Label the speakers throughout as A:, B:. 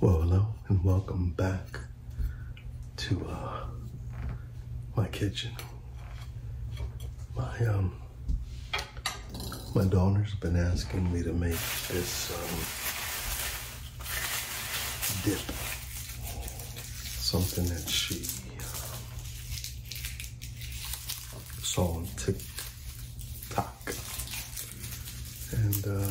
A: Well, hello and welcome back to uh, my kitchen. My um, my daughter's been asking me to make this um, dip, something that she uh, saw on TikTok. And uh,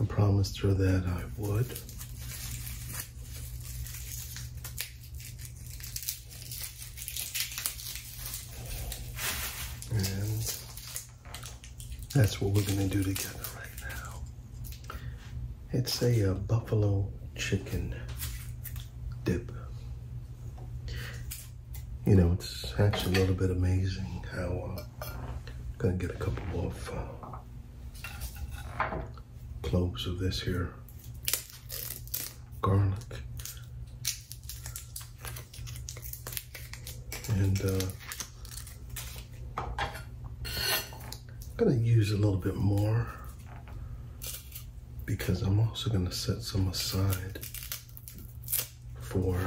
A: I promised her that I would. And that's what we're gonna do together right now. It's a uh, buffalo chicken dip you know, it's actually a little bit amazing how I'm uh, gonna get a couple more uh, cloves of this here garlic. And I'm uh, gonna use a little bit more because I'm also gonna set some aside for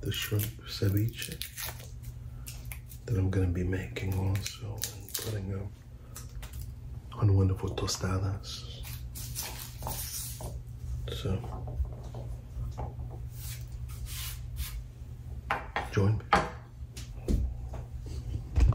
A: the shrimp ceviche that I'm gonna be making also and putting up on wonderful tostadas. So join me.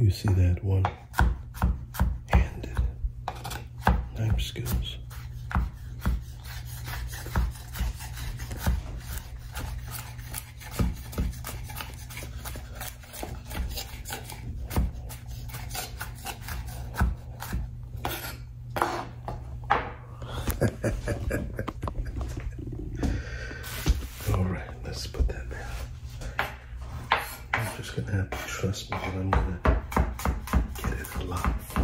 A: You see that one handed knife skills. All right, let's put that down. I'm just gonna have to trust me that I'm gonna get it a lot on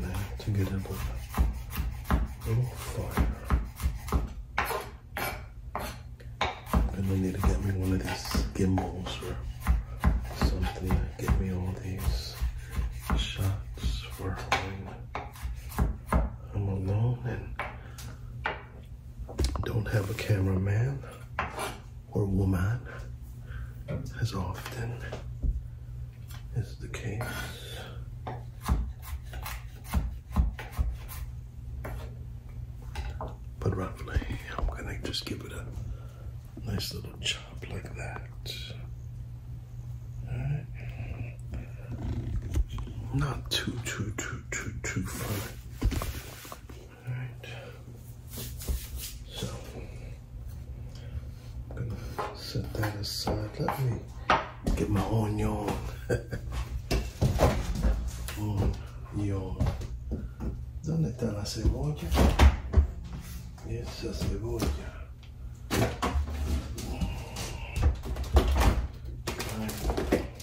A: there to get a little fire. I'm gonna need to get me one of these gimbals or something to get me all these shots for when I'm alone and don't have a cameraman or woman as often is the case. But roughly, I'm gonna just give it a nice little chop like that. All right. Not too, too, too too, too, too fun. All right. So, I'm gonna set that aside. Let me get my onion. onion. ¿Dónde está la cebolla? Esa cebolla.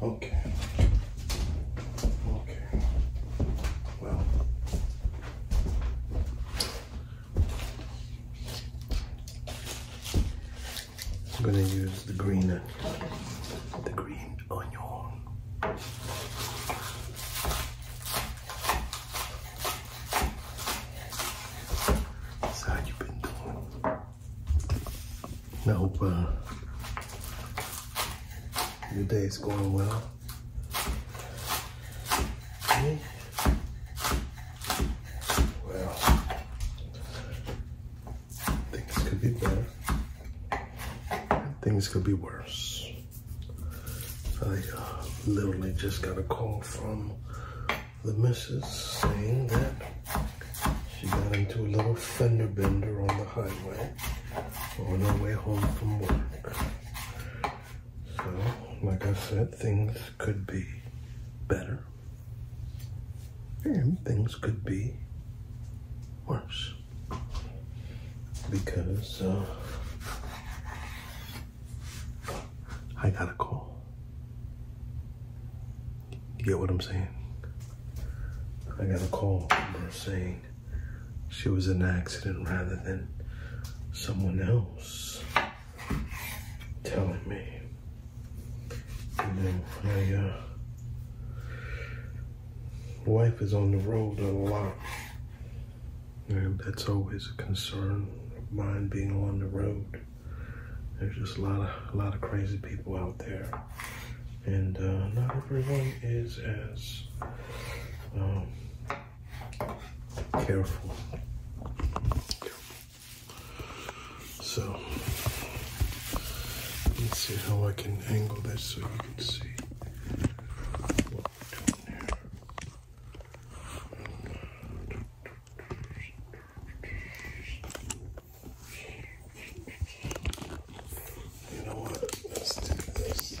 A: Okay. Okay. Well. I'm gonna use the green, uh, the green onion. That's how you your day is going well. Well, things could be better. Things could be worse. I uh, literally just got a call from the missus saying that she got into a little fender bender on the highway on her way home from work. So, like I said, things could be better, and things could be worse because uh, I got a call. get what I'm saying? I got a call saying she was in an accident rather than someone else telling me. and then my uh, wife is on the road a lot. And that's always a concern of mine being on the road. There's just a lot of a lot of crazy people out there. And uh, not everyone is as um, Careful. So, let's see how I can angle this so you can see. You know what? Let's do this.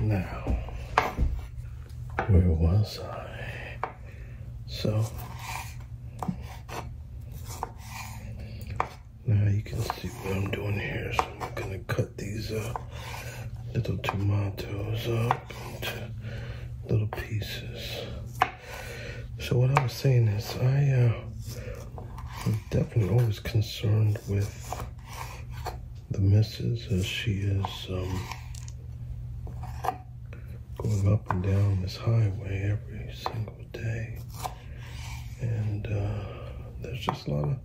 A: now, where was I? So, now you can see what I'm doing here. So I'm gonna cut these uh, little tomatoes up into little pieces. So what I was saying is I uh, definitely always concerned with the misses as she is um, going up and down this highway every single day. And uh, there's just a lot of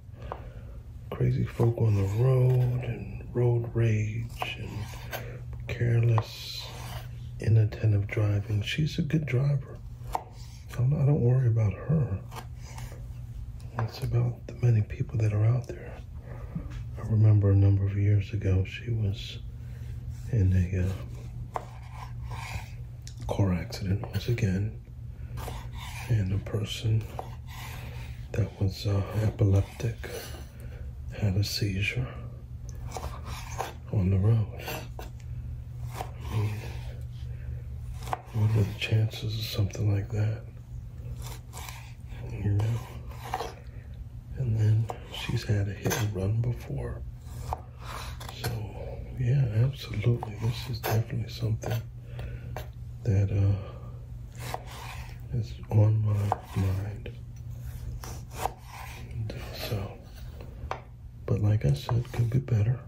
A: crazy folk on the road and road rage and careless, inattentive driving. She's a good driver. I'm, I do not worry about her. It's about the many people that are out there. I remember a number of years ago, she was in a uh, car accident once again, and a person that was uh, epileptic had a seizure on the road. what are the chances of something like that? And then she's had a hit and run before. So, yeah, absolutely. This is definitely something that uh, is on my mind. Uh, so, but like I said, could be better.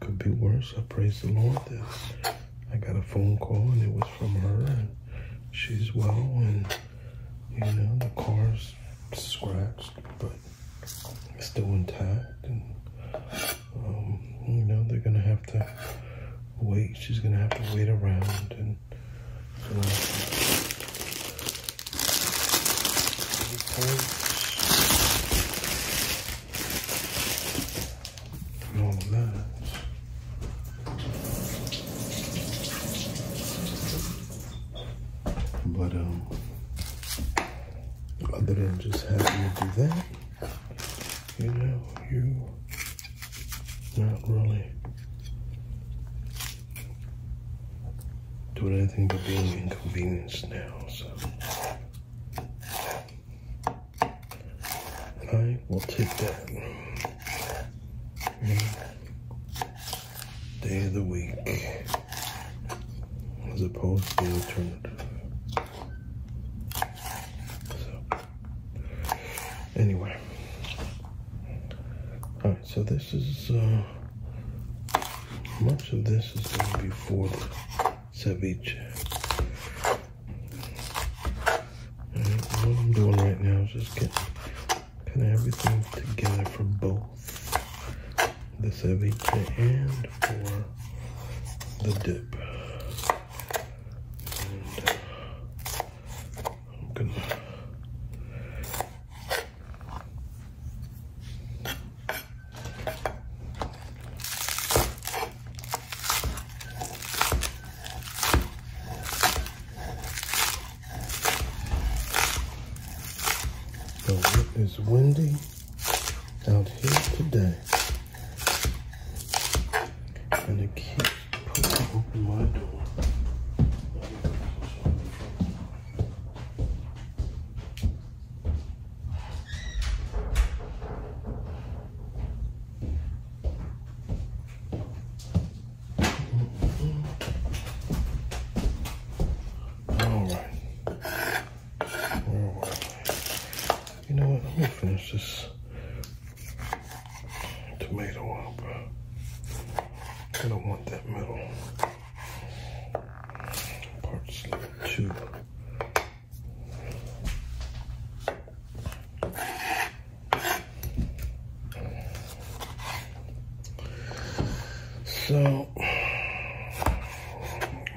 A: Could be worse. I praise the Lord that I got a phone call and it was from her and she's well and you know the car's scratched but it's still intact and um, you know they're gonna have to wait. She's gonna have to wait around and but um other than just having to do that, you know, you not really doing anything but being inconvenienced now, so I will take that day of the week as opposed to the alternative. So anyway. Alright, so this is uh, much of this is going to be for the ceviche. And what I'm doing right now is just getting kind of everything together for both the ceviche and for the dip. Uh, it is windy out here today. And it keeps poking open my door. You know what? tomato up. I kind of want that middle parts of So,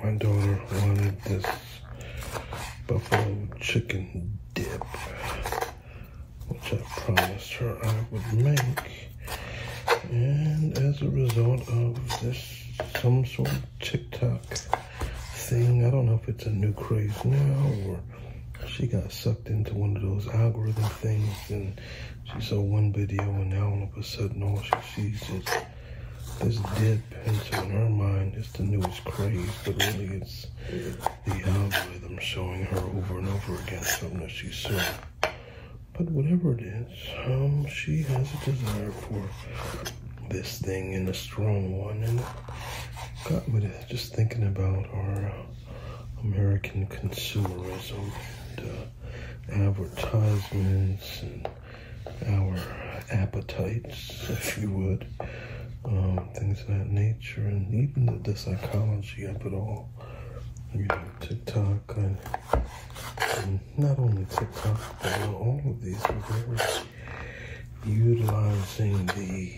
A: my daughter wanted this buffalo chicken dip, which I promised her I would make. And as a result of this, some sort of TikTok thing, I don't know if it's a new craze now or she got sucked into one of those algorithm things and she saw one video and now all of a sudden all she sees is this dead pencil in her mind is the newest craze, but really it's the algorithm showing her over and over again something that she saw but whatever it is, um, she has a desire for this thing and a strong one, and got me uh, just thinking about our American consumerism uh, advertisements and our appetites, if you would, um, things of that nature, and even the, psychology of it all. You know, TikTok and not only TikTok, but all of these, but utilizing the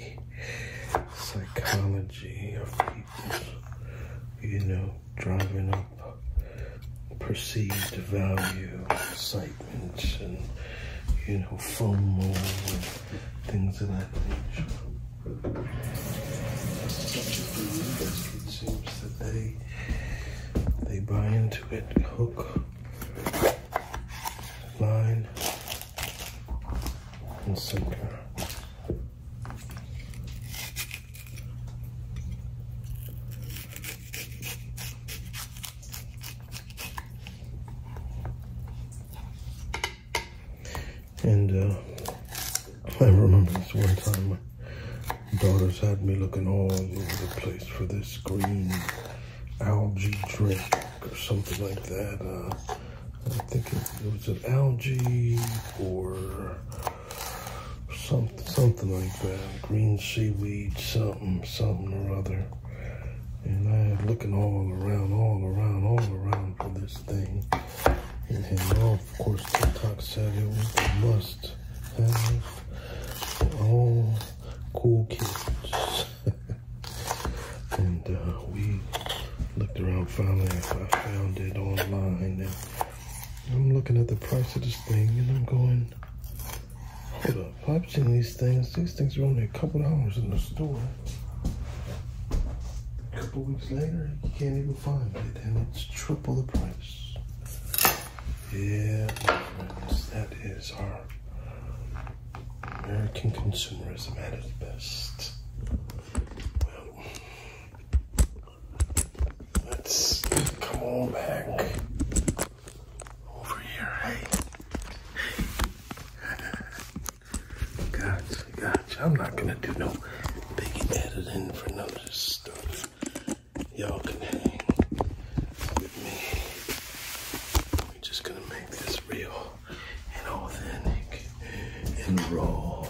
A: psychology of people, you know, driving up perceived value, excitement, and, you know, FOMO, and things of that nature they they buy into it hook, line, and sinker. And uh, I remember this one time my daughters had me looking all over the place for this green algae drink or something like that. Uh, I think it, was an algae or some, something like that. Green seaweed, something, something or other. And I had looking all around, all around, all around for this thing. And had all of course, TikTok said it was the must have for all cool kids. and uh, we looked around finally. I found it online. And I'm looking at the price of this thing and I'm going, hold up. I've seen these things. These things are only a couple dollars in the store. A couple weeks later, you can't even you find it, and it's triple the price. Yeah, that is our American consumerism at its best. Well, let's come back over here. Hey, gotcha, gotcha. I'm not gonna do no big editing for notice. Y'all can hang with me. We're just gonna make this real and authentic and raw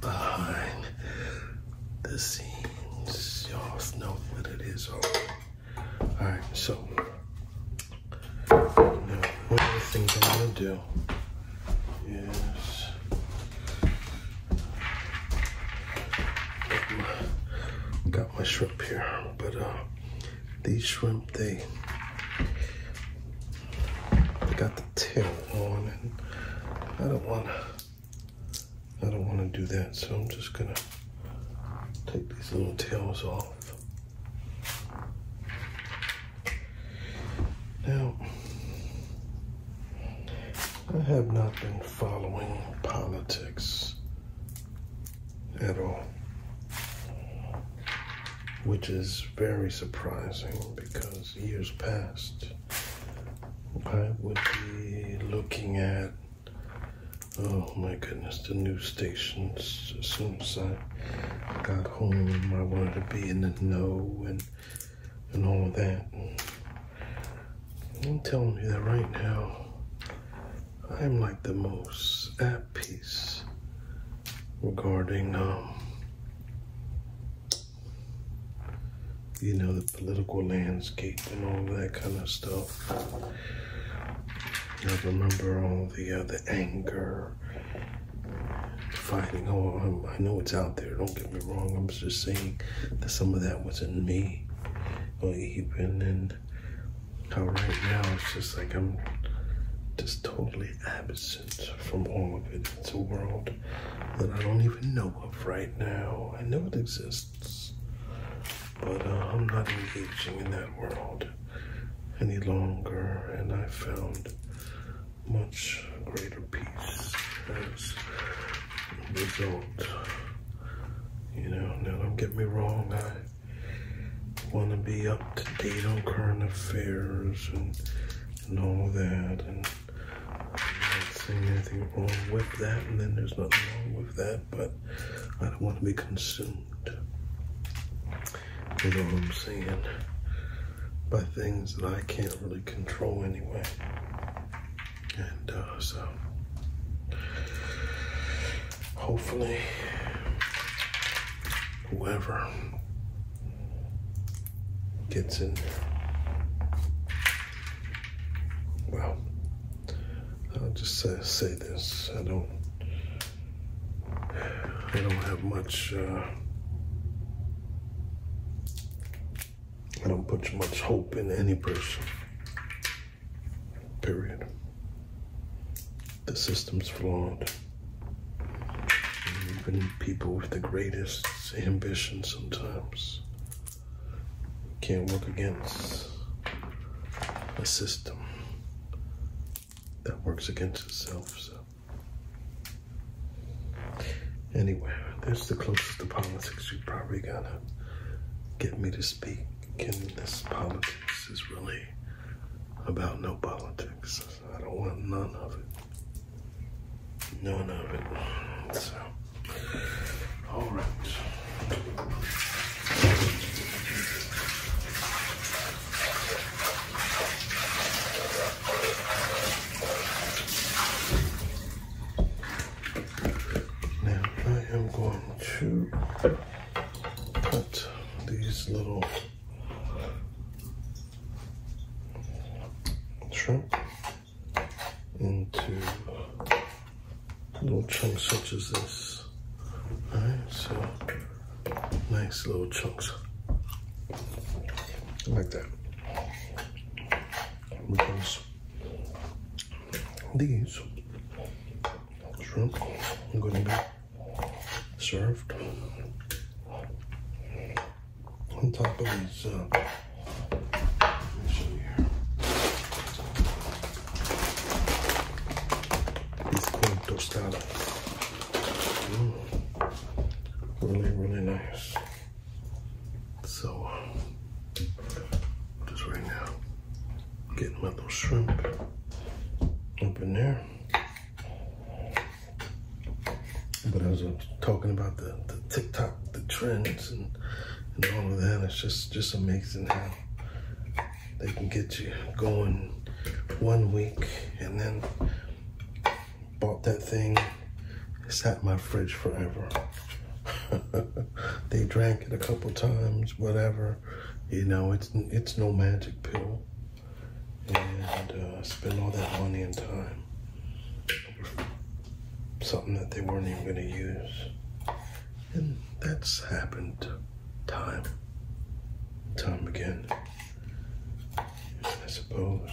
A: behind the scenes. Y'all know what it is Alright, so one of the things I'm gonna do is got my shrimp here, but uh, these shrimp, they, got the tail on and I don't wanna, I don't wanna do that. So I'm just gonna take these little tails off. Now, I have not been following politics at all, which is very surprising because years past, I would be looking at, oh my goodness, the news stations as soon as I got home. I wanted to be in the know and and all of that. I'm telling you that right now, I'm like the most at peace regarding, um, you know, the political landscape and all that kind of stuff. I remember all the other anger Fighting. oh, i know it's out there, don't get me wrong. I'm just saying that some of that was in me, or even in how right now it's just like I'm just totally absent from all of it. It's a world that I don't even know of right now. I know it exists, but uh, I'm not engaging in that world any longer, and I found much greater peace as a result. You know, now don't get me wrong, I want to be up to date on current affairs and, and all that, and i anything wrong with that, and then there's nothing wrong with that, but I don't want to be consumed. You know what I'm saying? by things that I can't really control anyway. And uh, so, hopefully, whoever gets in well, I'll just say, this. I don't, I don't have much. Uh, I don't put much hope in any person. Period. The system's flawed. even people with the greatest ambition sometimes can't work against a system that works against itself. So. Anyway, that's the closest to politics you're probably gonna get me to speak. And this politics is really about no politics. I don't want none of it. None of it. So, all right. Now I am going to cut these little shrimp into little chunks such as this. Alright, so nice little chunks like that because these shrimp are going to be served on top of these. Uh, Tostada. Mm. Really, really nice. So, just right now, getting my little shrimp open there. But as I'm talking about the, TikTok, the trends, and, and all of that, it's just, just amazing how they can get you going one week and then Bought that thing, sat in my fridge forever. they drank it a couple times, whatever. You know, it's it's no magic pill. And uh, spend all that money and time something that they weren't even going to use. And that's happened time, time again, I suppose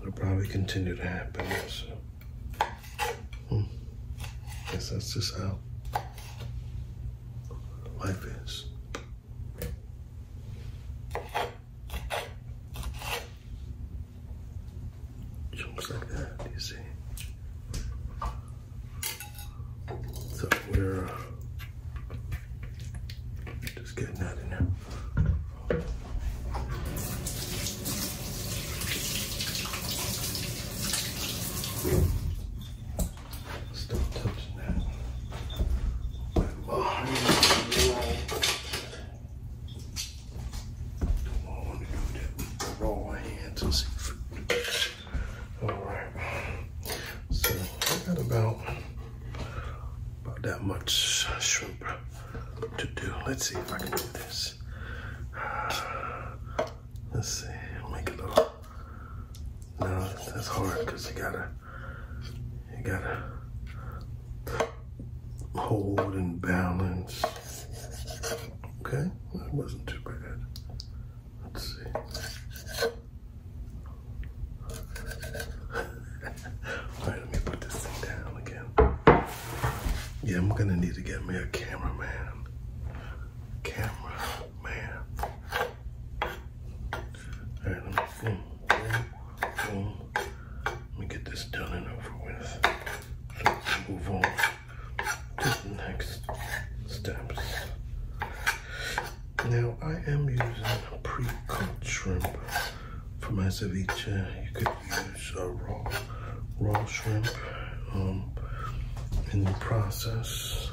A: it'll probably continue to happen. So, hmm. guess that's just how life is. Jumps like that, you see. So we're uh, just getting that in there. Stop touching that. Like Don't want to do that. Roll my hands All right. So I got about about that much shrimp to do. Let's see if I can do this. Let's see, make a little. No, that's hard because you gotta, you gotta hold and balance. Okay, that wasn't too bad. Let's see. Alright, let me put this thing down again. Yeah, I'm gonna need to get me a camera man. Camera man. Alright, let me boom, Let me get this done and over with. Let's Move on to the next steps. Now I am using pre-cooked shrimp for my ceviche, you could use uh, raw, raw shrimp um, in the process.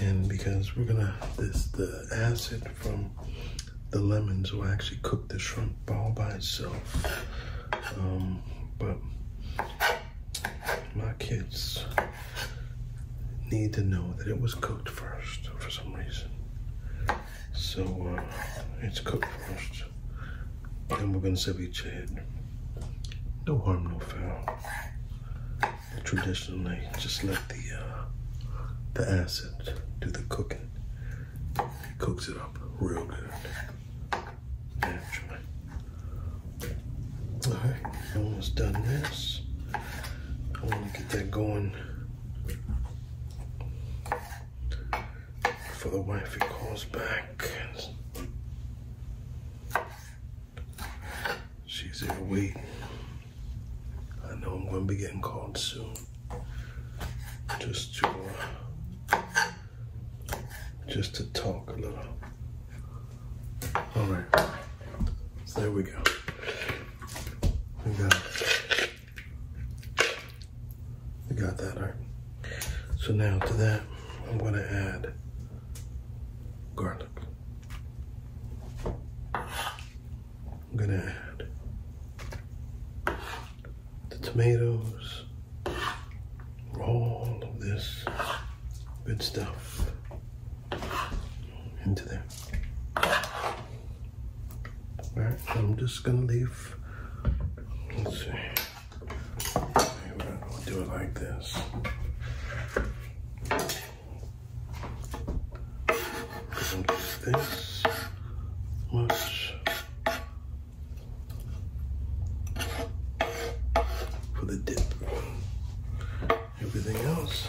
A: And because we're gonna, this the acid from the lemons will actually cook the shrimp all by itself. Um, but my kids need to know that it was cooked first for some reason. So uh, it's cooked first. Then we're gonna each it. No harm, no foul. traditionally, just let the uh, the acid do the cooking. It cooks it up real good. Naturally. All right, almost done this. I wanna get that going for the wife he calls back. She's there waiting. I know I'm going to be getting called soon. Just to, uh, just to talk a little. All right, there we go. We got you got that, right? So now to that, I'm gonna add garlic. I'm gonna add the tomatoes, all of this good stuff into there right, I'm just gonna leave. Let's see. Maybe I'll do it like this. This much for the dip. Everything else.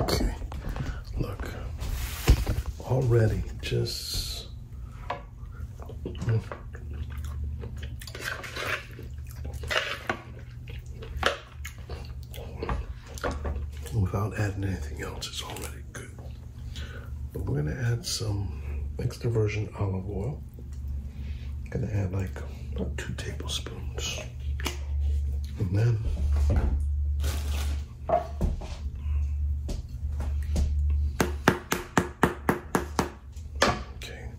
A: Okay, look, already just hmm. without adding anything else, it's already good. But we're gonna add some extra virgin olive oil. I'm gonna add like about two tablespoons. And then okay,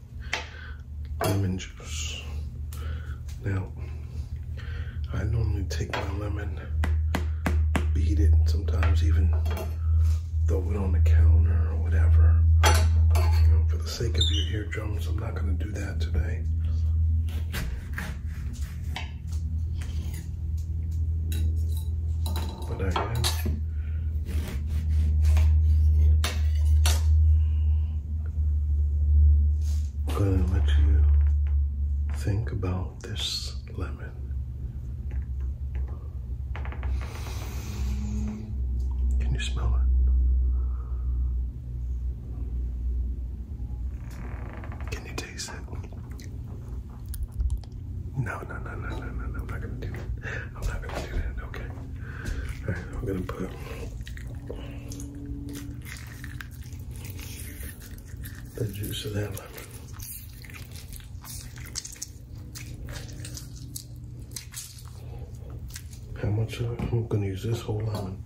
A: lemon juice. Now I normally take my lemon, beat it, sometimes even throw it on the counter or whatever. for the sake of your eardrums, I'm not gonna do that today. But I am. gonna let you think about this lemon. Can you smell it? Can you taste it? No, no, no, no, no, no, no. I'm not gonna do that. I'm not gonna do that. Okay. All right, I'm gonna put. The juice of that lemon how much? Uh, I'm gonna use this whole lemon.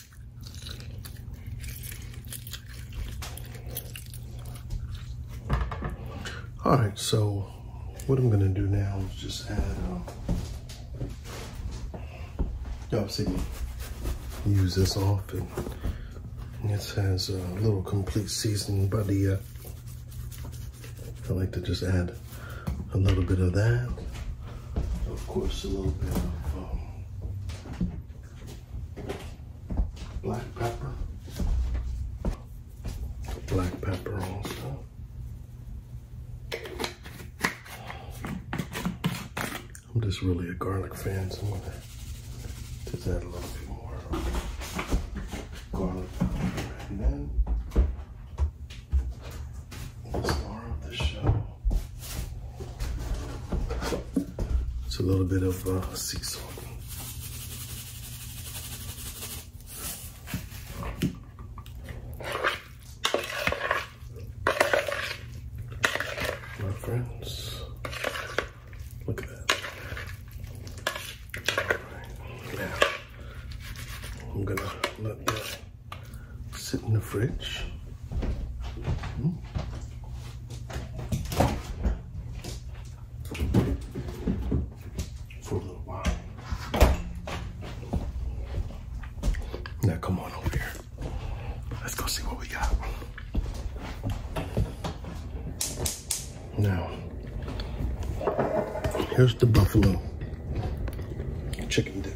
A: All right, so what I'm gonna do now is just add, um, uh, y'all oh, see me use this often. This has a little complete seasoning by the, I like to just add a little bit of that. Of course, a little bit of um, black pepper, black pepper also. I'm just really a garlic fan, so I'm gonna just add a little bit more garlic And then the star of the show. It's a little bit of a uh, sea salt. My friends, look at that. now I'm gonna let that sit in the fridge. Hmm? For a little while. Now come on over here. Let's go see what we got. Now, here's the buffalo chicken dip.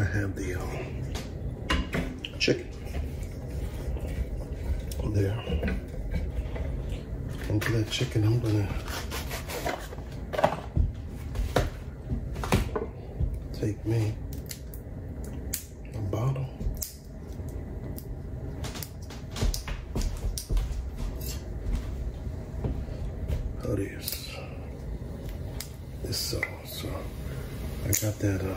A: I have the uh, chicken there. Into that chicken, I'm gonna take me a bottle Oh, this. This So I got that uh,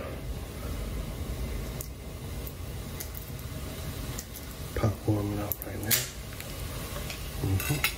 A: pot warming up right now. Mm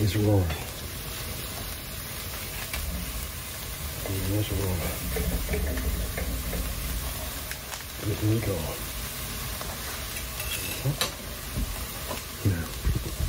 A: It's roaring. it's roaring. Let me go. Now.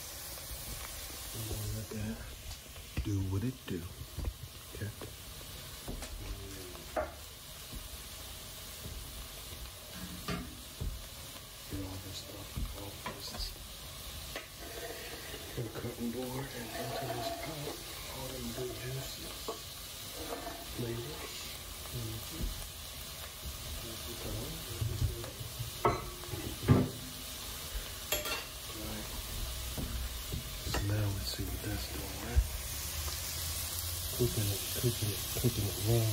A: let that do what it do. Okay. Get all this stuff, all this cutting board and into this pot, all them good juices, flavors. Mm-hmm. So now see what that's doing, right? Cooking it, cooking it, cooking it raw.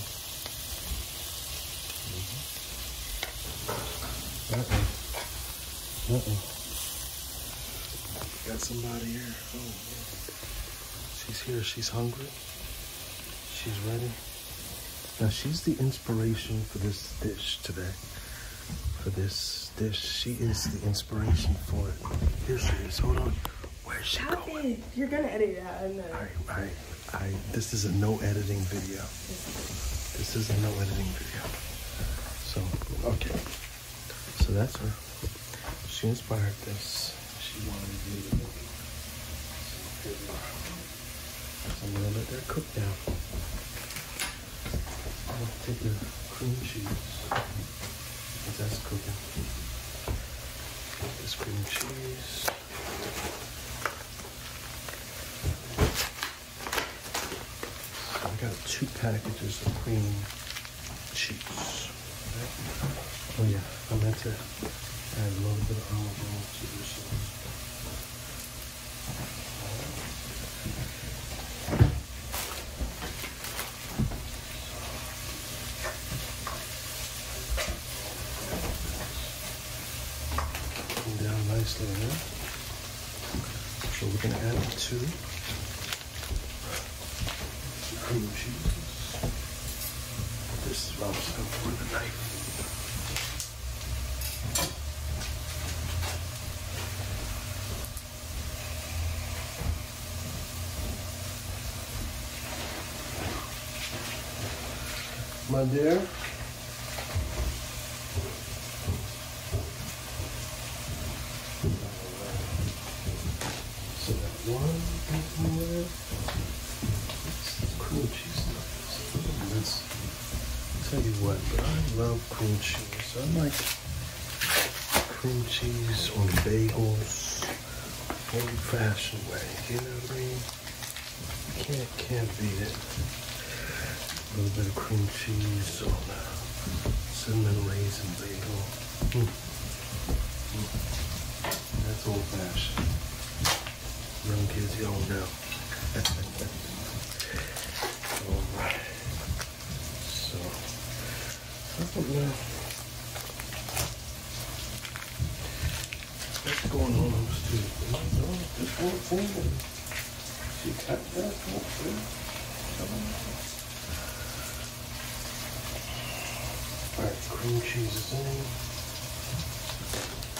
A: Mm -hmm. Got somebody here. Oh, yeah. She's here. She's hungry. She's ready. Now she's the inspiration for this dish today. For this dish, she is the inspiration for it. This is. Hold on. Where's she Stop going? It. You're gonna edit that. I, I, I. This is a no editing video. This is a no editing video. So okay. So that's her. She inspired this. She wanted me to make it. So I'm gonna let that cook now. i gonna take the cream cheese. But that's cooking. This cream cheese. I got two packages of cream cheese. Oh yeah. I am going to add a little bit of olive oil to this sauce. down nicely So we're going to add it to cream cheese. This is what I was hoping with the night, my dear. So that one Cream cheese nuggets. That's, tell you what, but I love cream cheese. I like cream cheese on bagels old fashioned way. You know what I mean? Can't can't beat it. A little bit of cream cheese on a cinnamon raisin bagel. Mm. Mm. That's old fashioned. Young kids, y'all know. Alright. So, I don't know. What's going on with this too? I don't know. This She cut that, won't Alright, cream cheese is in.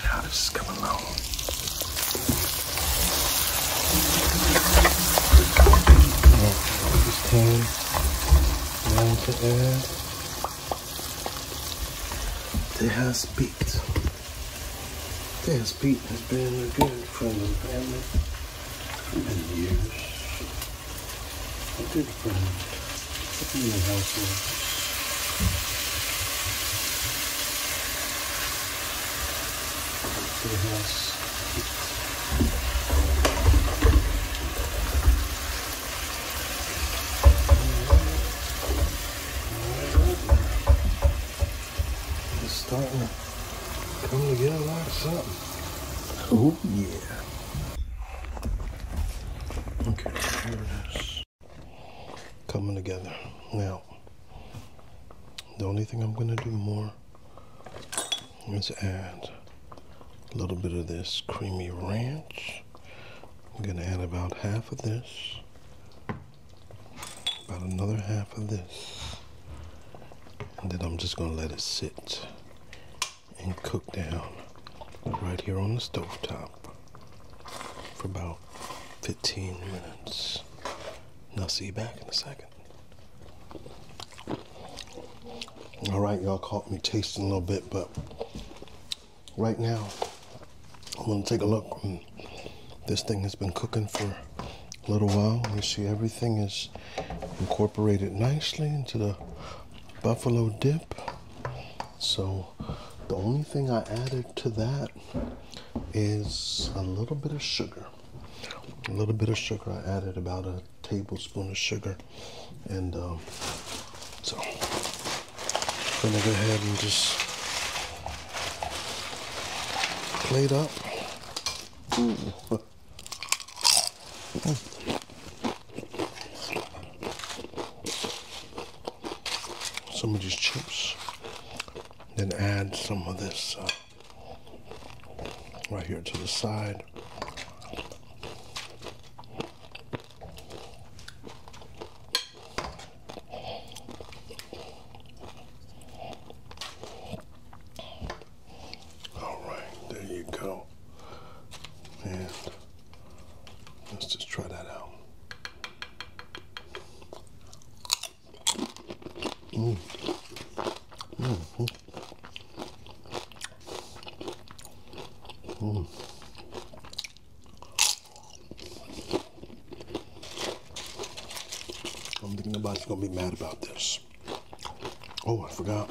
A: How this is coming along. Just came around the air. They has beat. They has beat has been a good friend of the family for many years. A good friend cooking To the house. It's starting to come together like something. Oh yeah. Okay, here it is coming together. Now, the only thing I'm going to do more is add a little bit of this creamy ranch. I'm going to add about half of this, about another half of this, and then I'm just going to let it sit and cook down right here on the stove top for about 15 minutes. And I'll see you back in a second. All right, y'all caught me tasting a little bit, but right now I'm gonna take a look. Mm, this thing has been cooking for a little while. You see everything is incorporated nicely into the buffalo dip. So the only thing I added to that is a little bit of sugar. A little bit of sugar. I added about a tablespoon of sugar. And um, so I'm going to go ahead and just plate up. some of these chips. Then add some of this uh, right here to the side. All right, there you go. And Let's just try that out. Mm. Mm -hmm. I'm thinking nobody's gonna be mad about this. Oh, I forgot.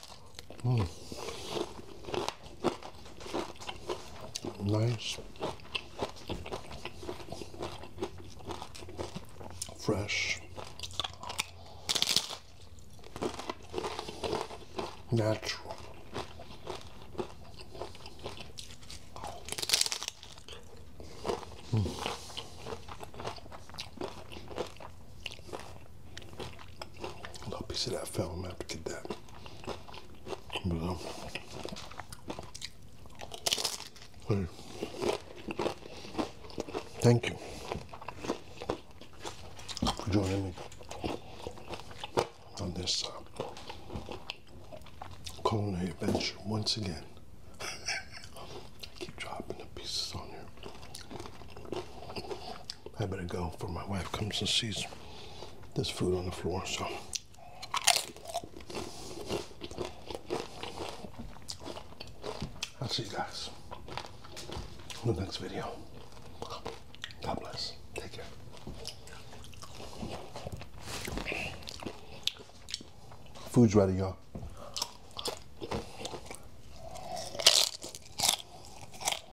A: Mm. Nice, fresh, natural. Mm. little piece of that film. I have to get that. But, thank you for joining me on this uh, culinary adventure once again. I keep dropping the pieces on here. I better go before my wife comes and sees this food on the floor. So. I'll see you guys in the next video. God bless. Take care. Food's ready, y'all.